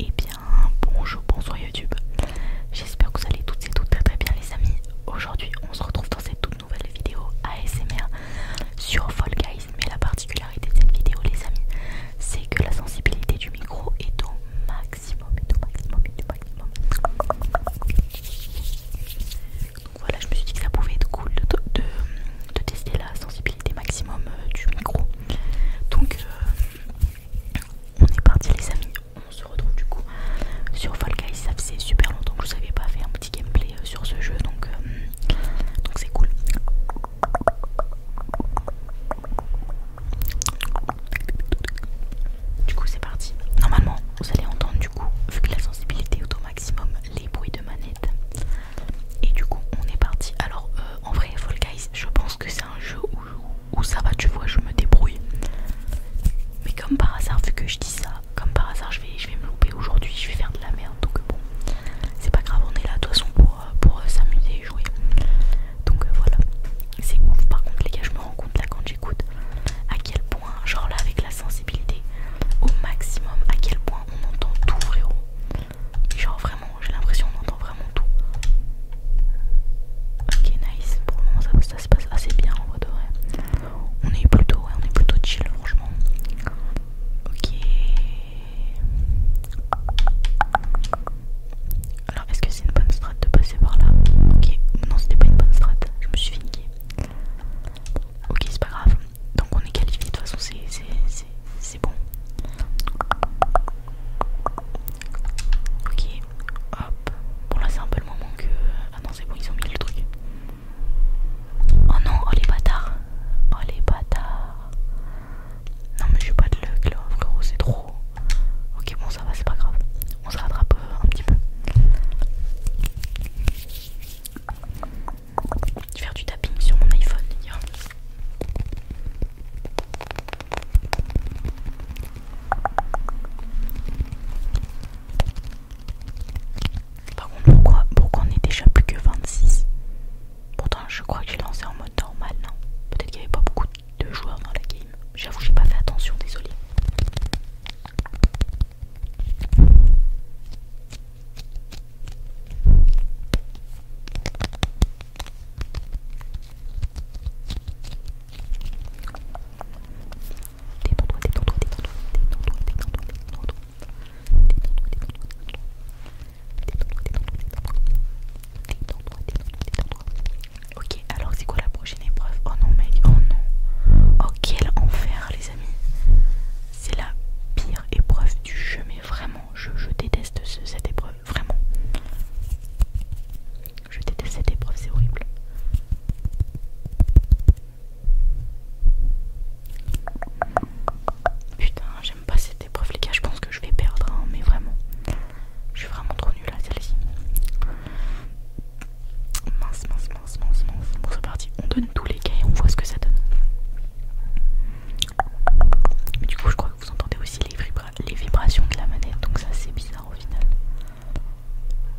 Et eh bien bonjour, bonsoir YouTube. J'espère que vous allez toutes et toutes très très bien les amis. Aujourd'hui on se retrouve dans cette toute nouvelle vidéo ASMR sur Fall Guys. Mais la particularité de cette vidéo les amis, c'est que la sensibilité du micro est au maximum, au maximum, au maximum. Donc voilà, je me suis dit que ça pouvait être cool de, tester la sensibilité maximum euh, du micro. Donc euh, on est parti les amis, on se retrouve du coup sur Fall Guys. Ça faisait super longtemps que je vous avais pas fait un petit gameplay euh, sur ce jeu donc euh, donc c'est cool. Du coup c'est parti. Normalement vous allez entendre du coup vu que la sensibilité est au maximum les bruits de manette. Et du coup, on est parti. Alors, euh, en vrai, Fall Guys, je pense que c'est un jeu où, ça va, tu vois, je me débrouille. Mais comme par hasard, vu que je dis ça, comme par hasard, je vais, je vais me louper aujourd'hui, je vais faire de la merde. Donc, bon, c'est pas grave, on est là de toute façon pour, euh, euh, s'amuser et jouer. Donc, voilà. C'est ouf, par contre, les gars, je me rends compte là quand j'écoute à quel point, genre là, avec la sensibilité au maximum, à quel point on entend tout, frérot. Genre vraiment, j'ai l'impression qu'on entend vraiment tout. Ok, nice. Pour le moment, ça, se passe assez bien en vrai On est plutôt, on est plutôt chill, franchement. Ok. Alors, est-ce que c'est une bonne strat de passer par là Ok, non, c'était pas une bonne strat. Je me suis finiquée. Ok, c'est pas grave. Donc, on est qualifié. De toute façon, c'est c'est bon. Ok, hop. Bon là c'est un peu le moment que... Ah non c'est bon, ils ont mis le truc. Oh non, oh les bâtards. Oh les bâtards. Non mais je suis pas de luck là, frérot, c'est trop. Ok bon ça va, c'est pas grave. On se rattrape euh, un petit peu. Je vais faire du tapping sur mon iPhone. Par contre, pourquoi, on est déjà plus que 26 Pourtant, je crois que j'ai lancé en mode normal, non Peut-être qu'il n'y avait pas beaucoup de joueurs dans la game. J'avoue, j'ai pas fait attention, désolé. Détends-toi, détends-toi, détends-toi, Ok, alors c'est quoi la prochaine épreuve Oh non mec, oh non. Oh quel enfer les amis. C'est la pire épreuve du jeu, vraiment, je, déteste cette épreuve, vraiment. Je déteste cette épreuve, c'est horrible. Putain, j'aime pas cette épreuve, les gars. Je pense que je vais perdre, hein, mais vraiment. Je suis vraiment trop nulle à celle-ci. Mince, mince, mince, mince, mince. Bon, c'est parti. On donne tous les cas et on voit ce que ça donne. Mais du coup, je crois que vous entendez aussi les, vibrations de la manette, donc ça c'est bizarre au final.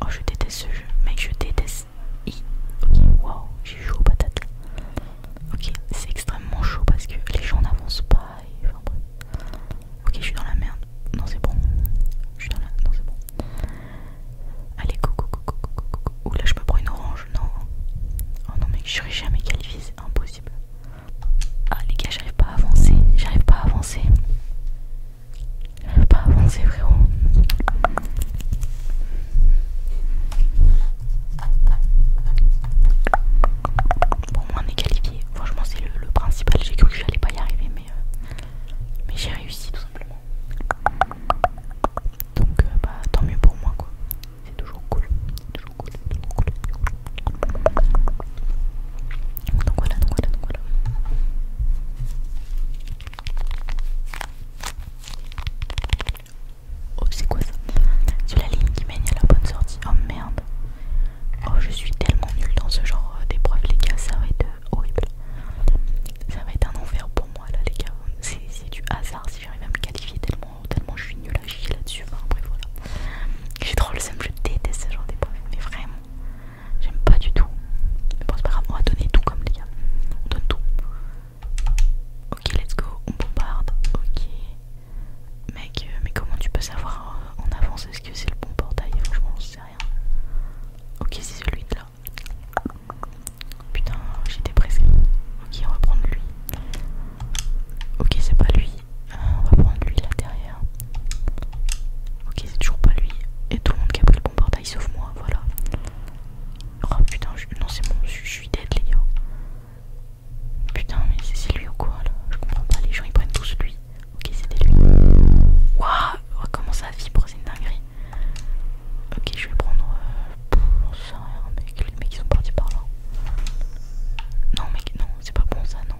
Oh, je déteste ce jeu, mec, je déteste. Ok, wow j'ai chaud aux patates. Ok, c'est extrêmement chaud parce que les gens n'avancent pas. Ok, je suis dans la merde. Non, c'est bon. Je suis dans Non, c'est bon. Allez, coco oula là, je me prends une orange, non. Oh non, mais je jamais qualifié c'est impossible. Ah les gars, j'arrive pas à avancer, j'arrive pas à avancer. J'arrive pas à avancer, frérot. Bon, moi on est qualifié. Franchement, c'est le, principal. J'ai cru que j'allais pas y arriver, mais, euh, mais j'ai réussi tout simplement. Donc, euh, bah, tant mieux pour moi, quoi c'est toujours cool. Toujours cool, toujours cool. Donc voilà, donc voilà, donc voilà. Oh, c'est quoi ça C'est la ligne qui mène à la bonne sortie. Oh merde. Oh, je suis tellement nulle dans ce genre euh, d'épreuve, les gars. Ça va être euh, horrible. Ça va être un enfer pour moi, là, les gars. C'est du hasard, j'arrive à me qualifier tellement, tellement je suis nulle à là-dessus. Enfin, voilà. J'ai trop le seum, je déteste ce genre problèmes, mais vraiment, j'aime pas du tout. Mais bon, c'est pas grave, on va donner tout comme les gars. On donne tout. Ok, let's go, on bombarde. Ok. Mec, euh, mais comment tu peux savoir en avance est-ce que c'est le bon portail Franchement, je sais rien. Ok, c'est celui là. Putain, j'étais presque. Ok, on va prendre lui. Ok, c'est pas lui. Euh, on va prendre lui là derrière. Ok, c'est toujours pas lui. Et tout le monde qui a pris le bon portail sauf moi, voilà. Oh putain, non, c'est bon, je, suis dead, les gars. Putain, mais c'est lui ou quoi là Je comprends pas, les gens ils prennent tous lui. Ok, c'était lui. Waouh, comment ça vibre, c'est une dinguerie. Ok, je vais prendre. Euh, rien, mec. Les mecs ils sont partis par là. Non, mec, non, c'est pas bon ça, non.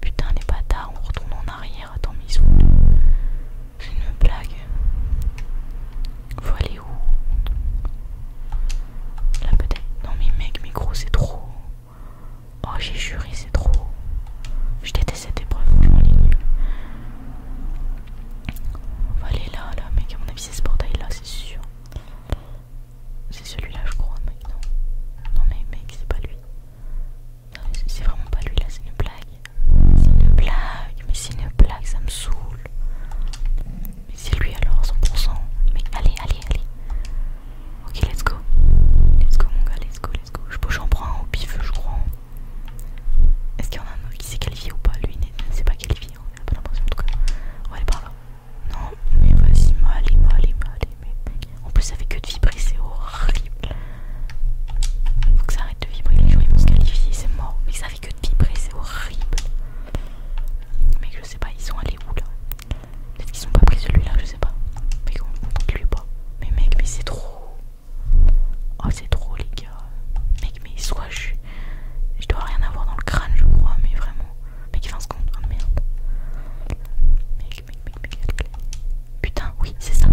Putain, les bâtards, on retourne en arrière. Attends, mais ils sont. C'est une blague. Faut aller où Là, peut-être. Non, mais mec, mais gros, c'est trop. Oh, j'ai juré, c'est trop. Je déteste cette épreuve, franchement, ligne on va aller là, là, mec. À mon avis, c'est ce portail là, c'est sûr. C'est celui-là, je crois, mec. Non, non mais mec, c'est pas lui. C'est vraiment pas lui là, c'est une blague. C'est une blague, mais c'est une blague, ça me saoule. Mais c'est lui alors, 100%. Mais allez, allez, allez. Ok, let's go. Let's go, mon gars, let's go, let's go. Je peux, j'en prends un au pif, je crois. Est-ce qu'il y en a un qui s'est qualifié ou pas Lui ne s'est pas qualifié, hein, on a pas l'impression en tout cas. On va aller par là. Non, mais vas-y, mal, Mali, Mali. Mais... En plus, ça fait que de vibrer, c'est horrible. Faut que ça arrête de vibrer, les gens ils vont se qualifier, c'est mort. Mais ça fait que de vibrer, c'est horrible. Mais je sais pas, ils sont allés où là Peut-être qu'ils sont pas pris celui-là, je sais pas. Mais on il lui pas. Mais mec, mais c'est trop. Oh c'est trop les gars. Mec mais soit je je dois rien avoir dans le crâne je crois mais vraiment. Mec il se secondes, oh merde. Mec mec mec mec. mec. Putain oui c'est ça.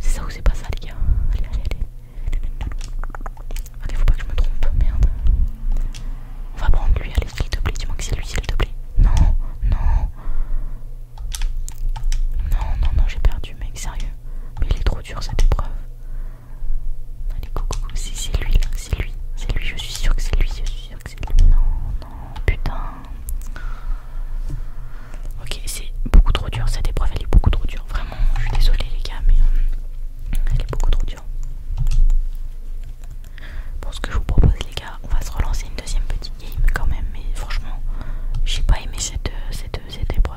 C'est ça ou c'est pas ça les gars. Allez allez allez. Ok faut pas que je me trompe, merde. On va prendre lui, allez s'il te plaît, dis-moi que c'est lui s'il te plaît. Non, non. Non, non, non, j'ai perdu mec, sérieux. Mais il est trop dur cette épreuve. Allez, coucou c'est lui là, c'est lui, c'est lui, je suis sûr que c'est lui, je suis sûr que c'est lui. Non, non, putain. Ok, c'est beaucoup trop dur cette épreuve, elle est beaucoup trop dure, vraiment. Je suis désolée les gars, mais euh, elle est beaucoup trop dure. Pour ce que je vous propose les gars, on va se relancer une deuxième petite game quand même, mais franchement, j'ai pas aimé cette, euh, cette épreuve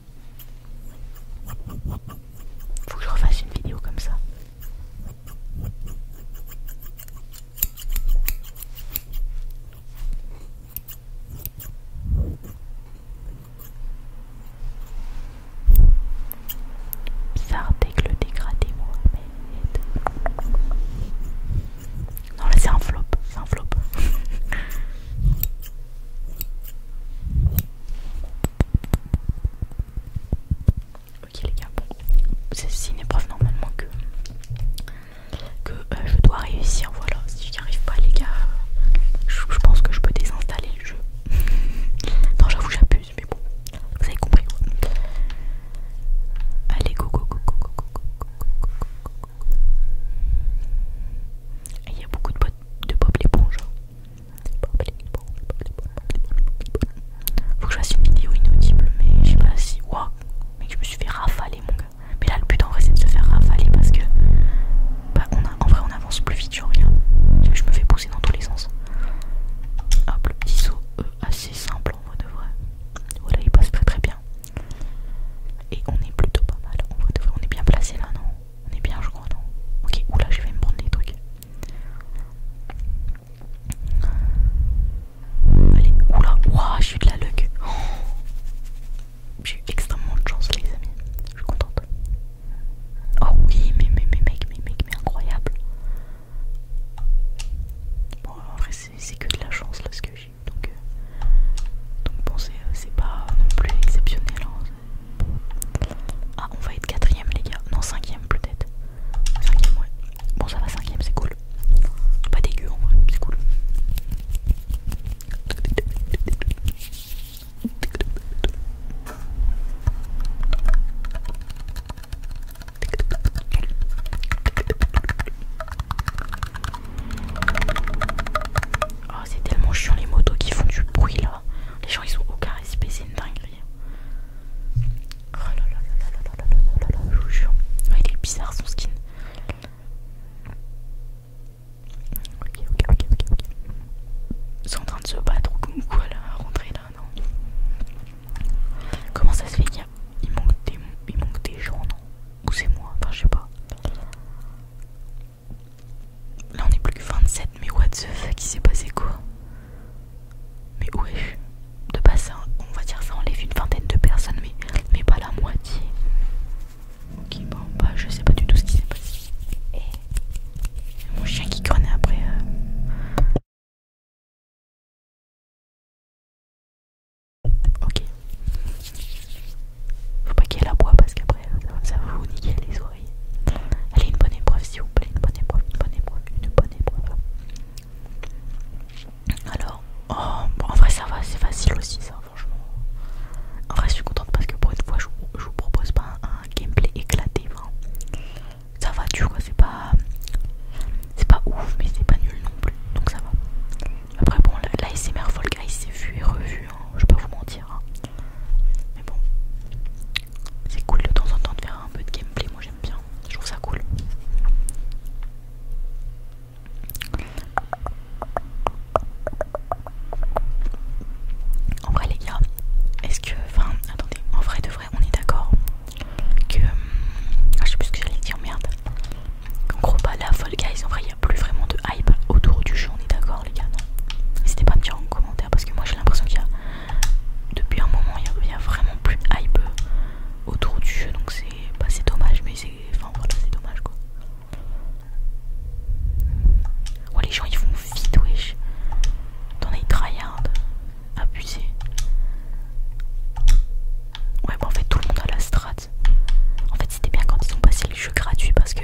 Faut que je refasse une vidéo comme ça. Bizarre dégradé Non là c'est un flop, c'est un flop. Ok les gars, bon, c'est une épreuve normalement que, je dois réussir, voilà, si j'y arrive pas les gars, je, pense que je peux désinstaller le jeu. non j'avoue j'abuse, mais bon, vous avez compris Allez go go go go go go go go go go go go et il y a beaucoup de, Bob de pop l'éponge. Il hein. Faut que je fasse une vidéo inaudible, mais je sais pas si. Waouh! Mais je me suis fait rafaler, mon gars. Mais là, le but en vrai, c'est de se faire rafaler parce que. Bah, en vrai, on avance plus vite, genre rien. Je me fais pousser dans tous les sens. Hop, le petit saut, euh, assez simple en de vrai. Voilà, il passe très très bien. Et on est plutôt pas mal. On, est bien placé là, non On est bien, je crois, non Ok, oula, je vais me prendre des trucs. Allez, oula, ouah, je suis de la luck. J'ai eu extrêmement de chance, les amis. Je suis contente. Oh oui, mais, mais, mais, mec, mais, mec, mais incroyable. Bon, en vrai, c'est que de la chance là ce que j'ai. Euh, donc, bon, c'est euh, pas euh, non plus exceptionnel. Hein, ah, on va être quatrième, les gars. Non, cinquième peut-être. Cinquième, ouais. Bon, ça va, cinquième, c'est cool. Pas dégueu en vrai, c'est cool. Oh, c'est tellement chiant les motos qui font du bruit là. Les gens ils ont aucun respect, c'est une dinguerie. Oh là là là là là là là là là, je vous jure. il est bizarre son skin. Ok, ok, ok, ok. ok. Ils sont en train de se battre ou quoi là, rentrer là, non Comment ça se fait qu'il manque des, manque des gens, non ou c'est moi, enfin je sais pas. Là on est plus que 27, mais what the fuck, il s'est passé quoi Mais ouais, de passer, on va dire ça enlève une vingtaine de personnes, mais, mais pas la moitié. Ok, bon, bah je sais pas du tout ce qui s'est passé. Et eh, mon chien qui grenait après. Euh. Ok. Faut pas qu'elle boîte parce qu'après euh, ça va vous niquer les oreilles. Allez, une bonne épreuve s'il vous plaît, une bonne épreuve, une bonne épreuve, une bonne épreuve. Alors, oh, en vrai ça va, c'est facile aussi ça, franchement. En vrai je suis contente parce que pour une fois je vous, propose pas un, gameplay éclaté. vraiment. ça va tu vois, pas... C'est pas ouf mais c'est pas nul non plus, donc ça va. Après bon, l'ASMR Fall Guys s'est vu et revu, hein. je peux pas vous mentir. Hein. Mais bon, c'est cool de temps en temps de faire un peu de gameplay, moi j'aime bien, je trouve ça cool. En vrai les gars, est-ce que, enfin, attendez, en vrai de vrai, on est d'accord que, hum, ah, je sais plus ce que j'allais dire, merde. En gros, pas la folle Guys, en vrai, il n'y a plus vraiment de hype autour du jeu, on est d'accord, les gars, non N'hésitez pas à me dire en commentaire parce que moi j'ai l'impression qu'il y a. Depuis un moment, il n'y a, vraiment plus de hype autour du jeu, donc c'est pas c'est dommage, mais c'est. Enfin, voilà, c'est dommage quoi. Ouais, oh, les gens ils vont vite, wesh. T'en as tryhard, abusé. Ouais, bon en fait, tout le monde a la strat. En fait, c'était bien quand ils ont passé les jeux gratuits parce que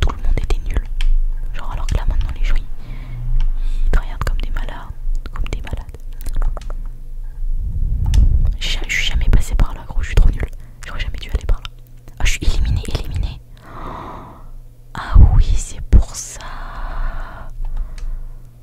tout le monde était nul. Genre, alors que là, maintenant, les joueurs ils, regardent comme des malades. Comme des malades. Je suis jamais passé par là, gros, je suis trop nul. J'aurais jamais dû aller par là. Ah, je suis éliminé, éliminé. Ah oui, c'est pour ça.